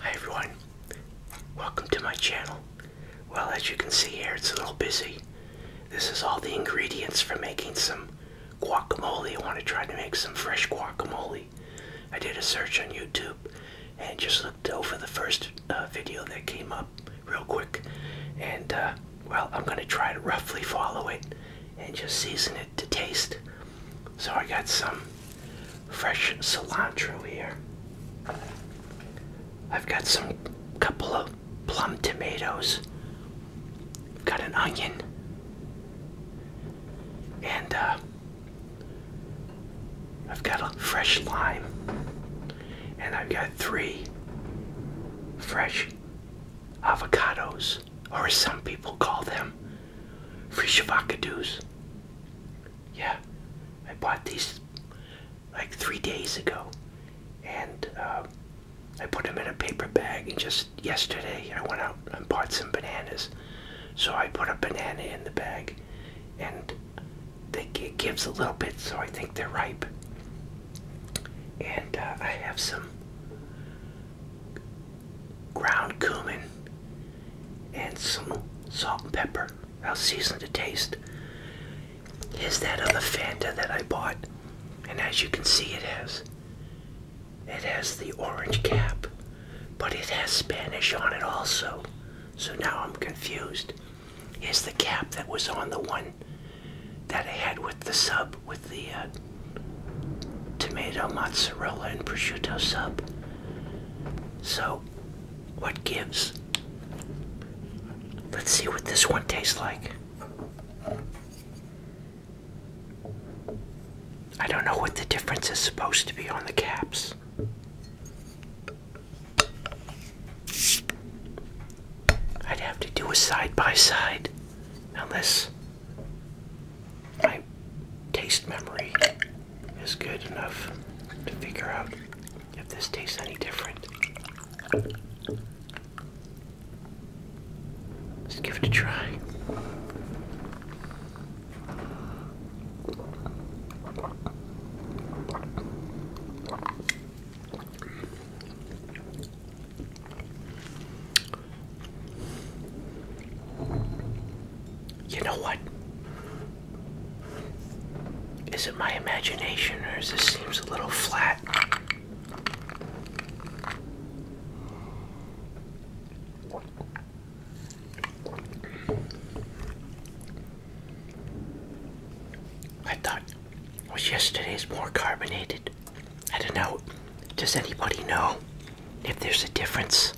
Hi everyone, welcome to my channel. Well, as you can see here, it's a little busy. This is all the ingredients for making some guacamole. I want to try to make some fresh guacamole. I did a search on YouTube and just looked over the first uh, video that came up real quick. And, uh, well, I'm going to try to roughly follow it and just season it to taste. So I got some fresh cilantro here. I've got some couple of plum tomatoes. got an onion. And uh, I've got a fresh lime. And I've got three fresh avocados or as some people call them, free Shabakadoos. Yeah, I bought these like three days ago, and um, I put them in a paper bag. And just yesterday, I went out and bought some bananas. So I put a banana in the bag, and it gives a little bit, so I think they're ripe. And uh, I have some ground cumin, and some salt and pepper. I'll season to taste. Is that other Fanta that I bought, and as you can see, it has it has the orange cap, but it has Spanish on it also. So now I'm confused. Is the cap that was on the one that I had with the sub with the uh, tomato mozzarella and prosciutto sub. So, what gives? Let's see what this one tastes like. I don't know what the difference is supposed to be on the caps. I'd have to do a side by side, unless my taste memory is good enough to figure out if this tastes any different. Let's give it a try. You know what? Is it my imagination or does this seems a little flat? I thought was yesterday's more carbonated. I don't know. Does anybody know if there's a difference?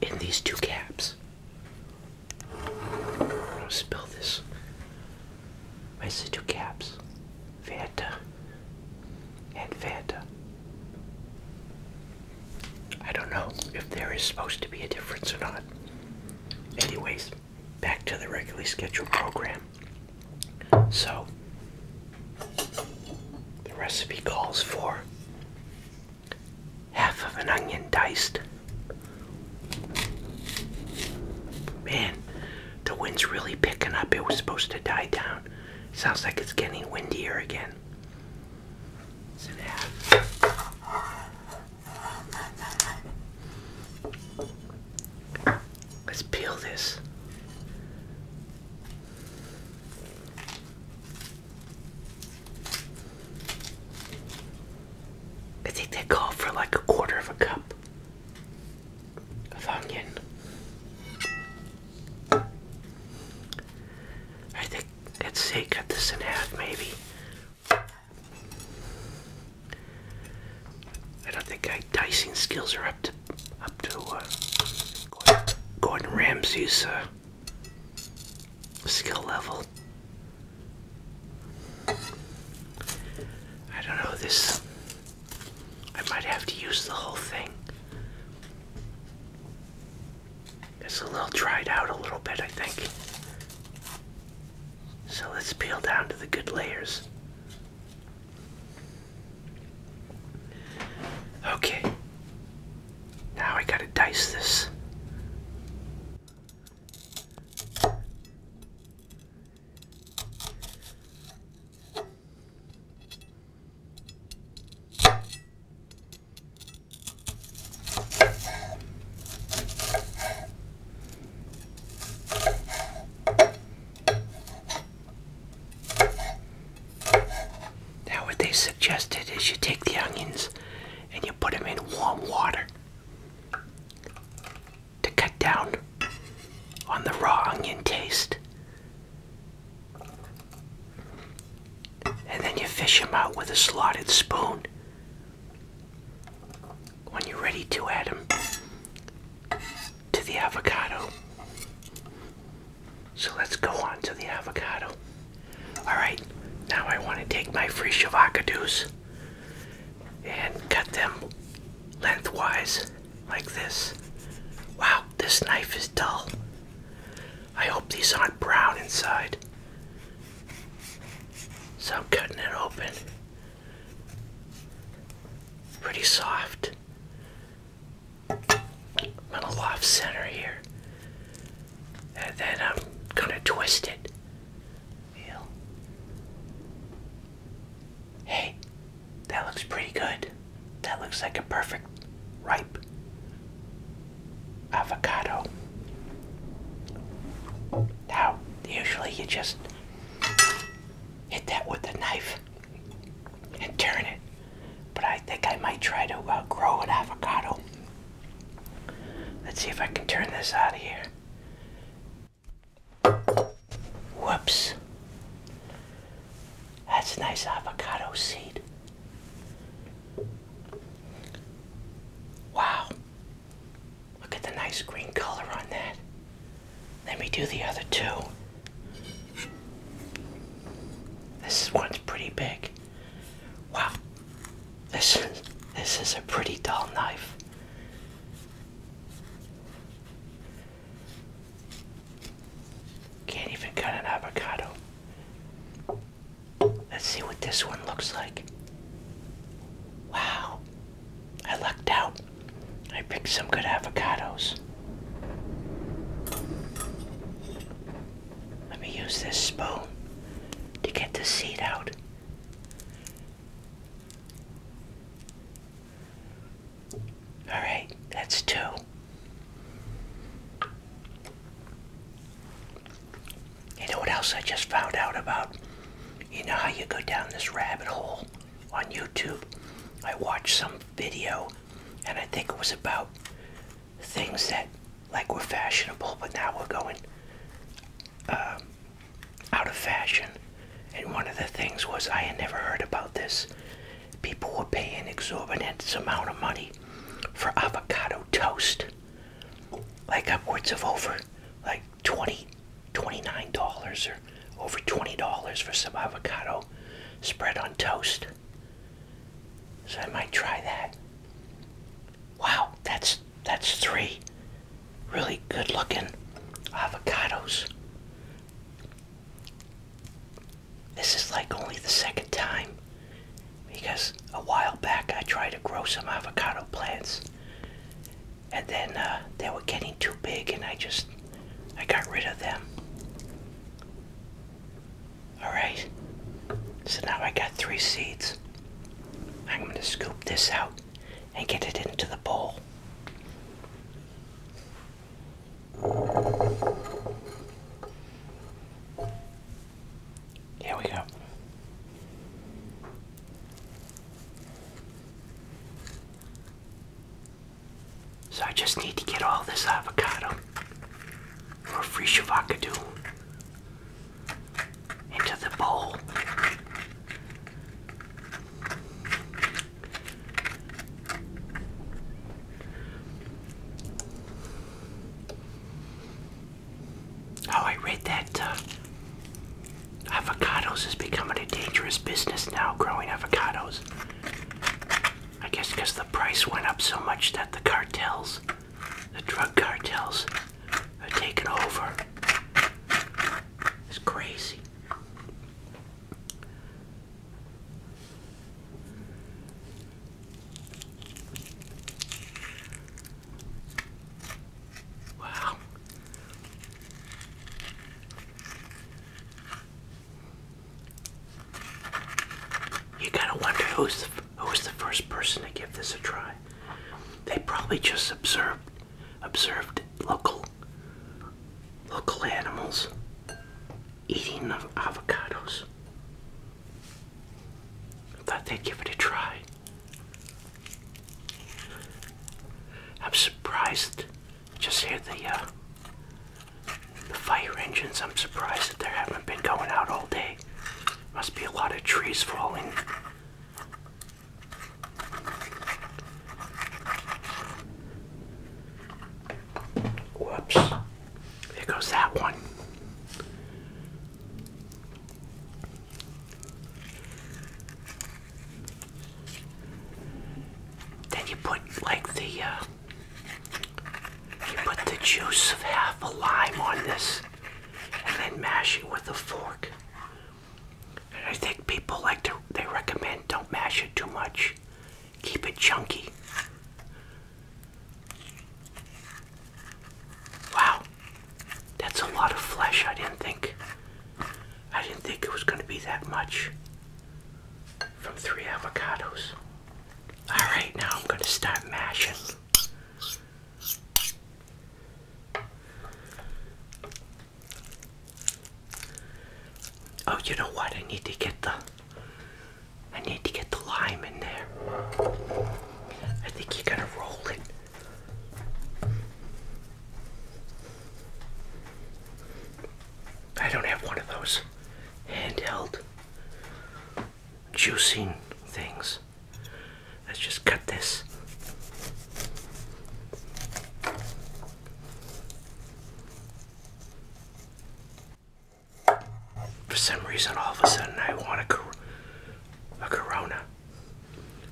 in these two caps. I'll spill this. I said two caps. Fanta and Fanta. I don't know if there is supposed to be a difference or not. Anyways, back to the regularly scheduled program. So, the recipe calls for half of an onion diced. Man, the wind's really picking up. It was supposed to die down. Sounds like it's getting windier again. Let's peel this. I think they call for like a quarter of a cup of onion. I think, let's say, cut this in half maybe. I don't think my dicing skills are up to up to uh, Gordon Ramsay's uh, skill level. I don't know, this. I might have to use the whole thing. It's a little dried out a little bit, I think. So let's peel down to the good layers. Okay, now I gotta dice this. Now, what they suggested is you take the onions and you put them in warm water to cut down on the raw onion taste. And then you fish them out with a slotted spoon. When you're ready to add them to the avocado. So let's go on to the avocado. Alright, now I want to take my free avocados and cut them lengthwise like this. Wow, this knife is dull. I hope these aren't brown inside. So I'm cutting it open. Pretty soft gonna left center here. And then I'm gonna twist it. Hey, that looks pretty good. That looks like a perfect ripe avocado. Now, usually you just hit that with a knife and turn it but I think I might try to uh, grow an avocado. Let's see if I can turn this out of here. Whoops. That's a nice avocado seed. Wow. Look at the nice green color on that. Let me do the other two. This one's pretty big. Wow, this is, this is a pretty dull knife. Can't even cut an avocado. Let's see what this one looks like. Wow, I lucked out. I picked some good avocados. Let me use this spoon to get the seed out. Alright, that's two. You know what else I just found out about? You know how you go down this rabbit hole on YouTube? I watched some video and I think it was about things that like were fashionable but now we're going um, out of fashion and one of the things was i had never heard about this people were paying exorbitant amount of money for avocado toast like upwards of over like 20 $29 or over $20 for some avocado spread on toast so I might try that. Wow, that's that's three really good looking avocados. This is like only the second time because a while back I tried to grow some avocado plants and then uh, they were getting too big and I just I got rid of them. Alright, so now I got three seeds. I'm going to scoop this out and get it into the bowl. Here we go. So I just need to get all this avocado or free shavakadu into the bowl. Oh, I read that uh, avocados is becoming a dangerous business now, growing avocados. I guess because the price went up so much that the cartels the drug cartels are taking over. It's crazy. Wow. You gotta wonder who's the, who's the first person to give this a try. They probably just observed observed local local animals eating avocados. thought they'd give it a try. I'm surprised. Just hear the uh, the fire engines, I'm surprised that they haven't been going out all day. Must be a lot of trees falling. Whoops. There goes that one. Then you put like the uh, put the juice of half a lime on this and then mash it with a fork. I think people like to, they recommend don't mash it too much, keep it chunky. Wow, that's a lot of flesh. I didn't think, I didn't think it was going to be that much from three avocados. Alright, now I'm going to start mashing. Oh, you know what? I need to get the I need to get the lime in there. I think you gotta roll it. I don't have one of those handheld juicing things. Let's just cut this. For some reason, all of a sudden, I want a, a Corona.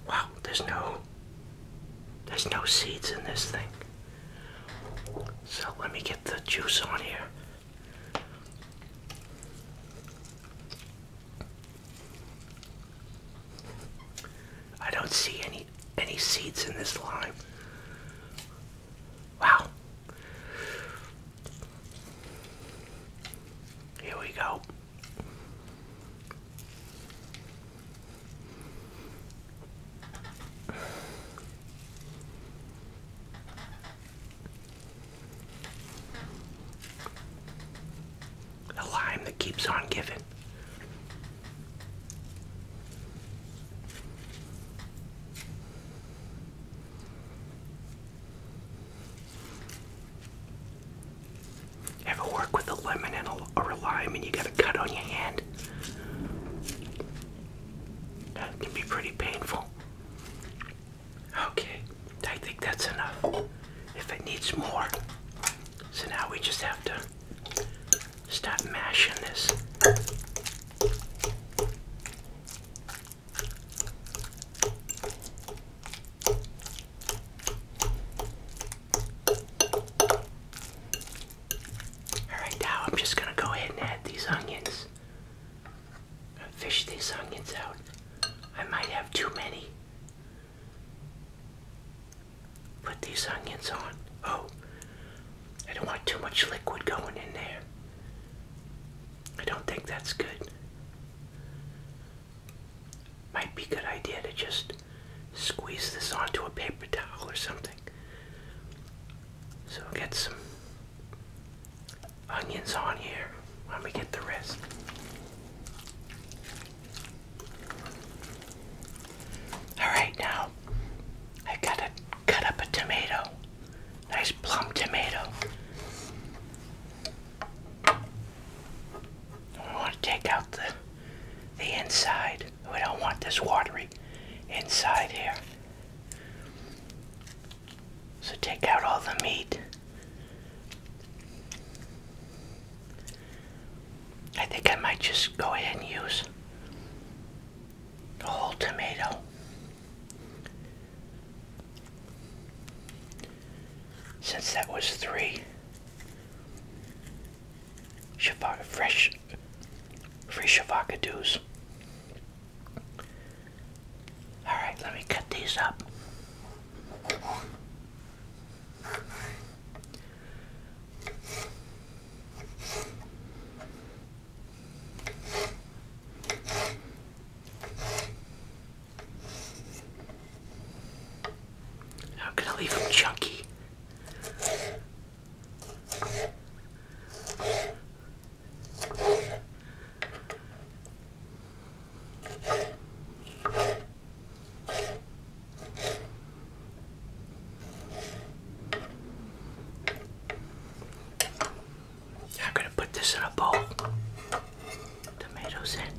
Wow, there's no, there's no seeds in this thing. So let me get the juice on here. I don't see any any seeds in this lime. Wow. Here we go. The lime that keeps on giving. Ever work with a lemon and or a lime and you got a cut on your hand? That can be pretty painful. Okay, I think that's enough. If it needs more, so now we just have to stop mashing this. All right, now I'm just going to go ahead and add these onions fish these onions out. I might have too many. Put these onions on. Oh, I don't want too much liquid going in there. I don't think that's good. Might be a good idea to just squeeze this onto a paper towel or something. So get some onions on here Let me get the rest. Alright, now I gotta cut up a tomato. Nice plump tomato. We want to take out the the inside. We don't want this watery inside here. So take out all the meat. I think I might just go ahead and use the whole tomato. Since that was three, fresh, free shavakadoos. Alright, let me cut these up. I'm going leave them chunky. I'm going to put this in a bowl. Tomatoes in.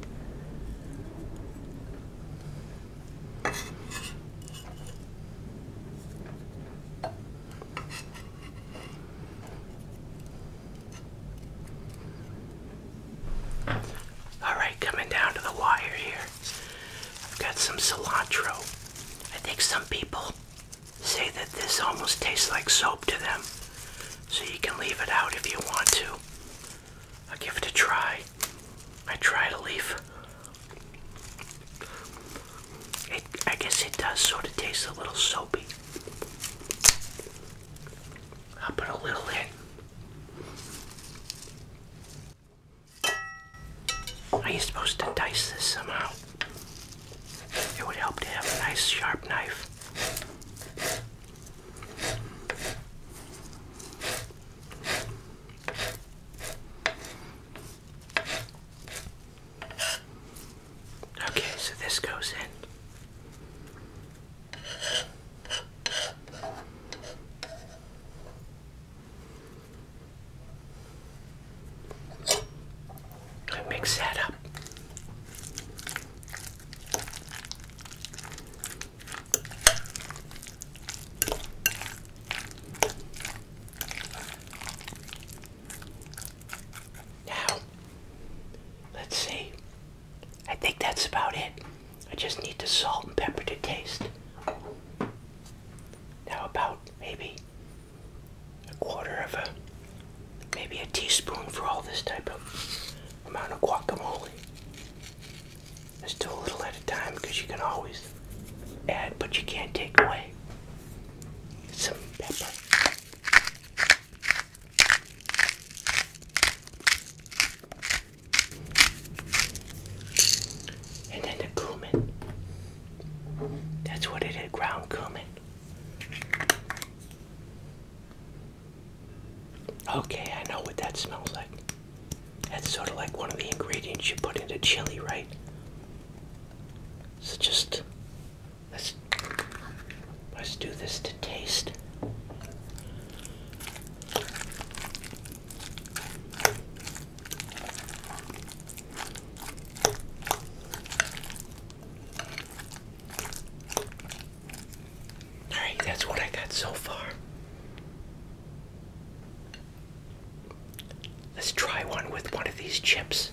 Alright, coming down to the wire here. I've got some cilantro. I think some people say that this almost tastes like soap to them. So you can leave it out if you want to. I'll give it a try. I try to leave. It, I guess it does sort of taste a little soapy. I'll put a little in. Are you supposed to dice this somehow? It would help to have a nice sharp knife. Okay, so this goes in. I mix that up. Now, let's see. I think that's about it. I just need the salt and pepper to taste. Now about maybe a quarter of a, maybe a teaspoon for all this type of amount of guacamole. Just do a little at a time because you can always add, but you can't take away some pepper. And then the cumin. That's what it is, ground cumin. Okay, I know what that smells like. That's sort of like one of the ingredients you put into chili, right? It's just Let's let's do this to taste. Alright, that's what I got so far. Let's try one with one of these chips.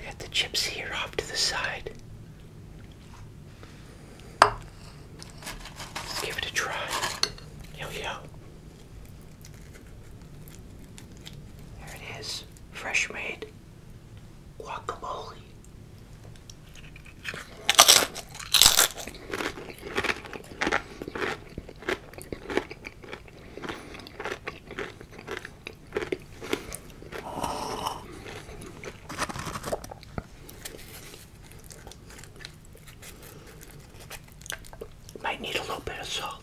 Get the chips here off to the side. Let's give it a try. Yo, yo. There it is. Fresh made guacamole. Might need a little bit of salt.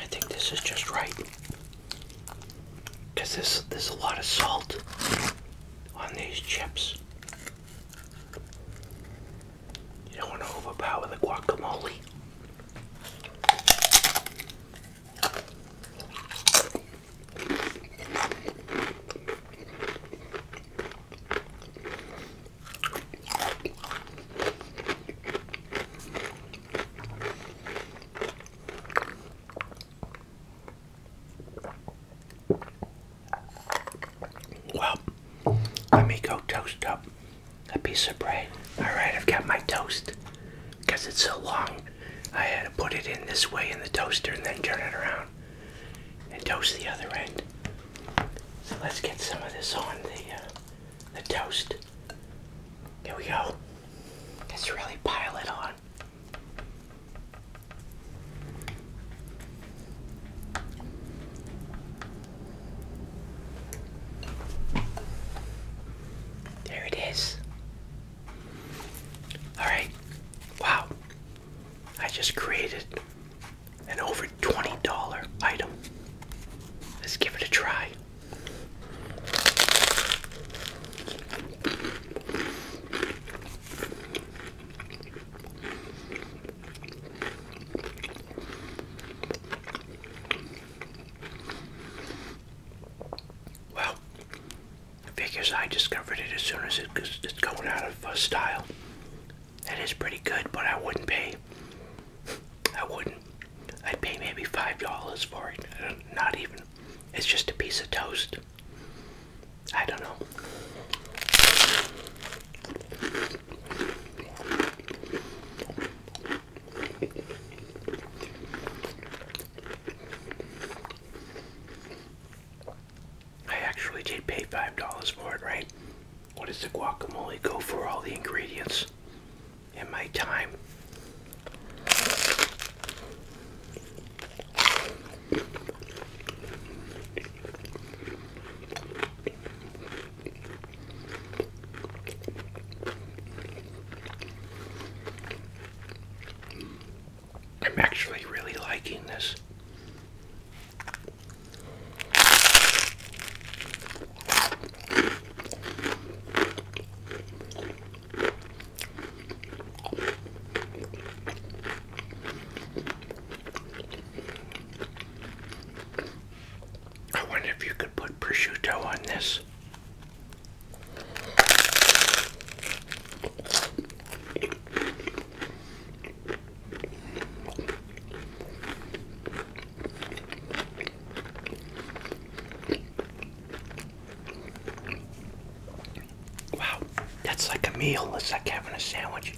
I think this is just right. Cause this there's a lot of salt on these chips. You don't want to overpower the guacamole. Well, let me go toast up a piece of bread. Alright, I've got my toast. Because it's so long, I had to put it in this way in the toaster and then turn it around and toast the other end. So let's get some of this on the, uh, the toast. There we go. Let's really pile it on. There it is. Alright. Wow. I just created an over $20 item. Let's give it a try. Well, figures I discovered it as soon as it's going out of uh, style. That is pretty good, but I wouldn't pay I wouldn't. I'd pay maybe five dollars for it. Not even. It's just a piece of toast. I don't know. I actually did pay $5 for it, right? What does the guacamole go for all the ingredients? in my time. I'm actually really liking this. I wonder if you could put prosciutto on this. Wow, that's like a meal. It's like having a sandwich.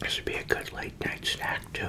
This would be a good late night snack, too.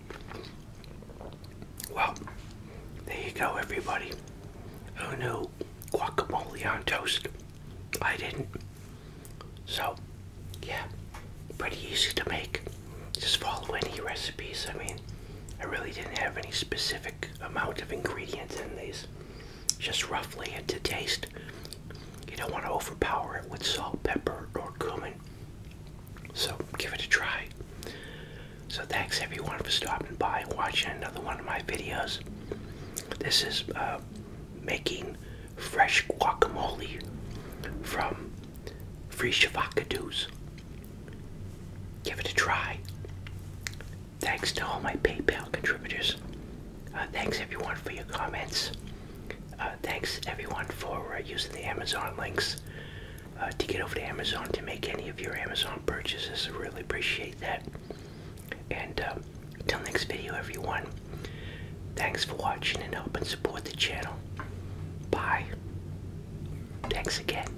Well, there you go, everybody. Who knew guacamole on toast? I didn't. So, yeah, pretty easy to make. Just follow any recipes. I mean, I really didn't have any specific amount of ingredients in these. Just roughly and to taste. You don't want to overpower it with salt, pepper, or cumin. So give it a try. So thanks everyone for stopping by and watching another one of my videos. This is uh, making fresh guacamole from free shavakadoos. Give it a try. Thanks to all my PayPal contributors. Uh, thanks everyone for your comments. Uh, thanks everyone for uh, using the Amazon links uh, to get over to Amazon to make any of your Amazon purchases. I really appreciate that. And until um, next video, everyone. Thanks for watching and help and support the channel. Bye. Thanks again.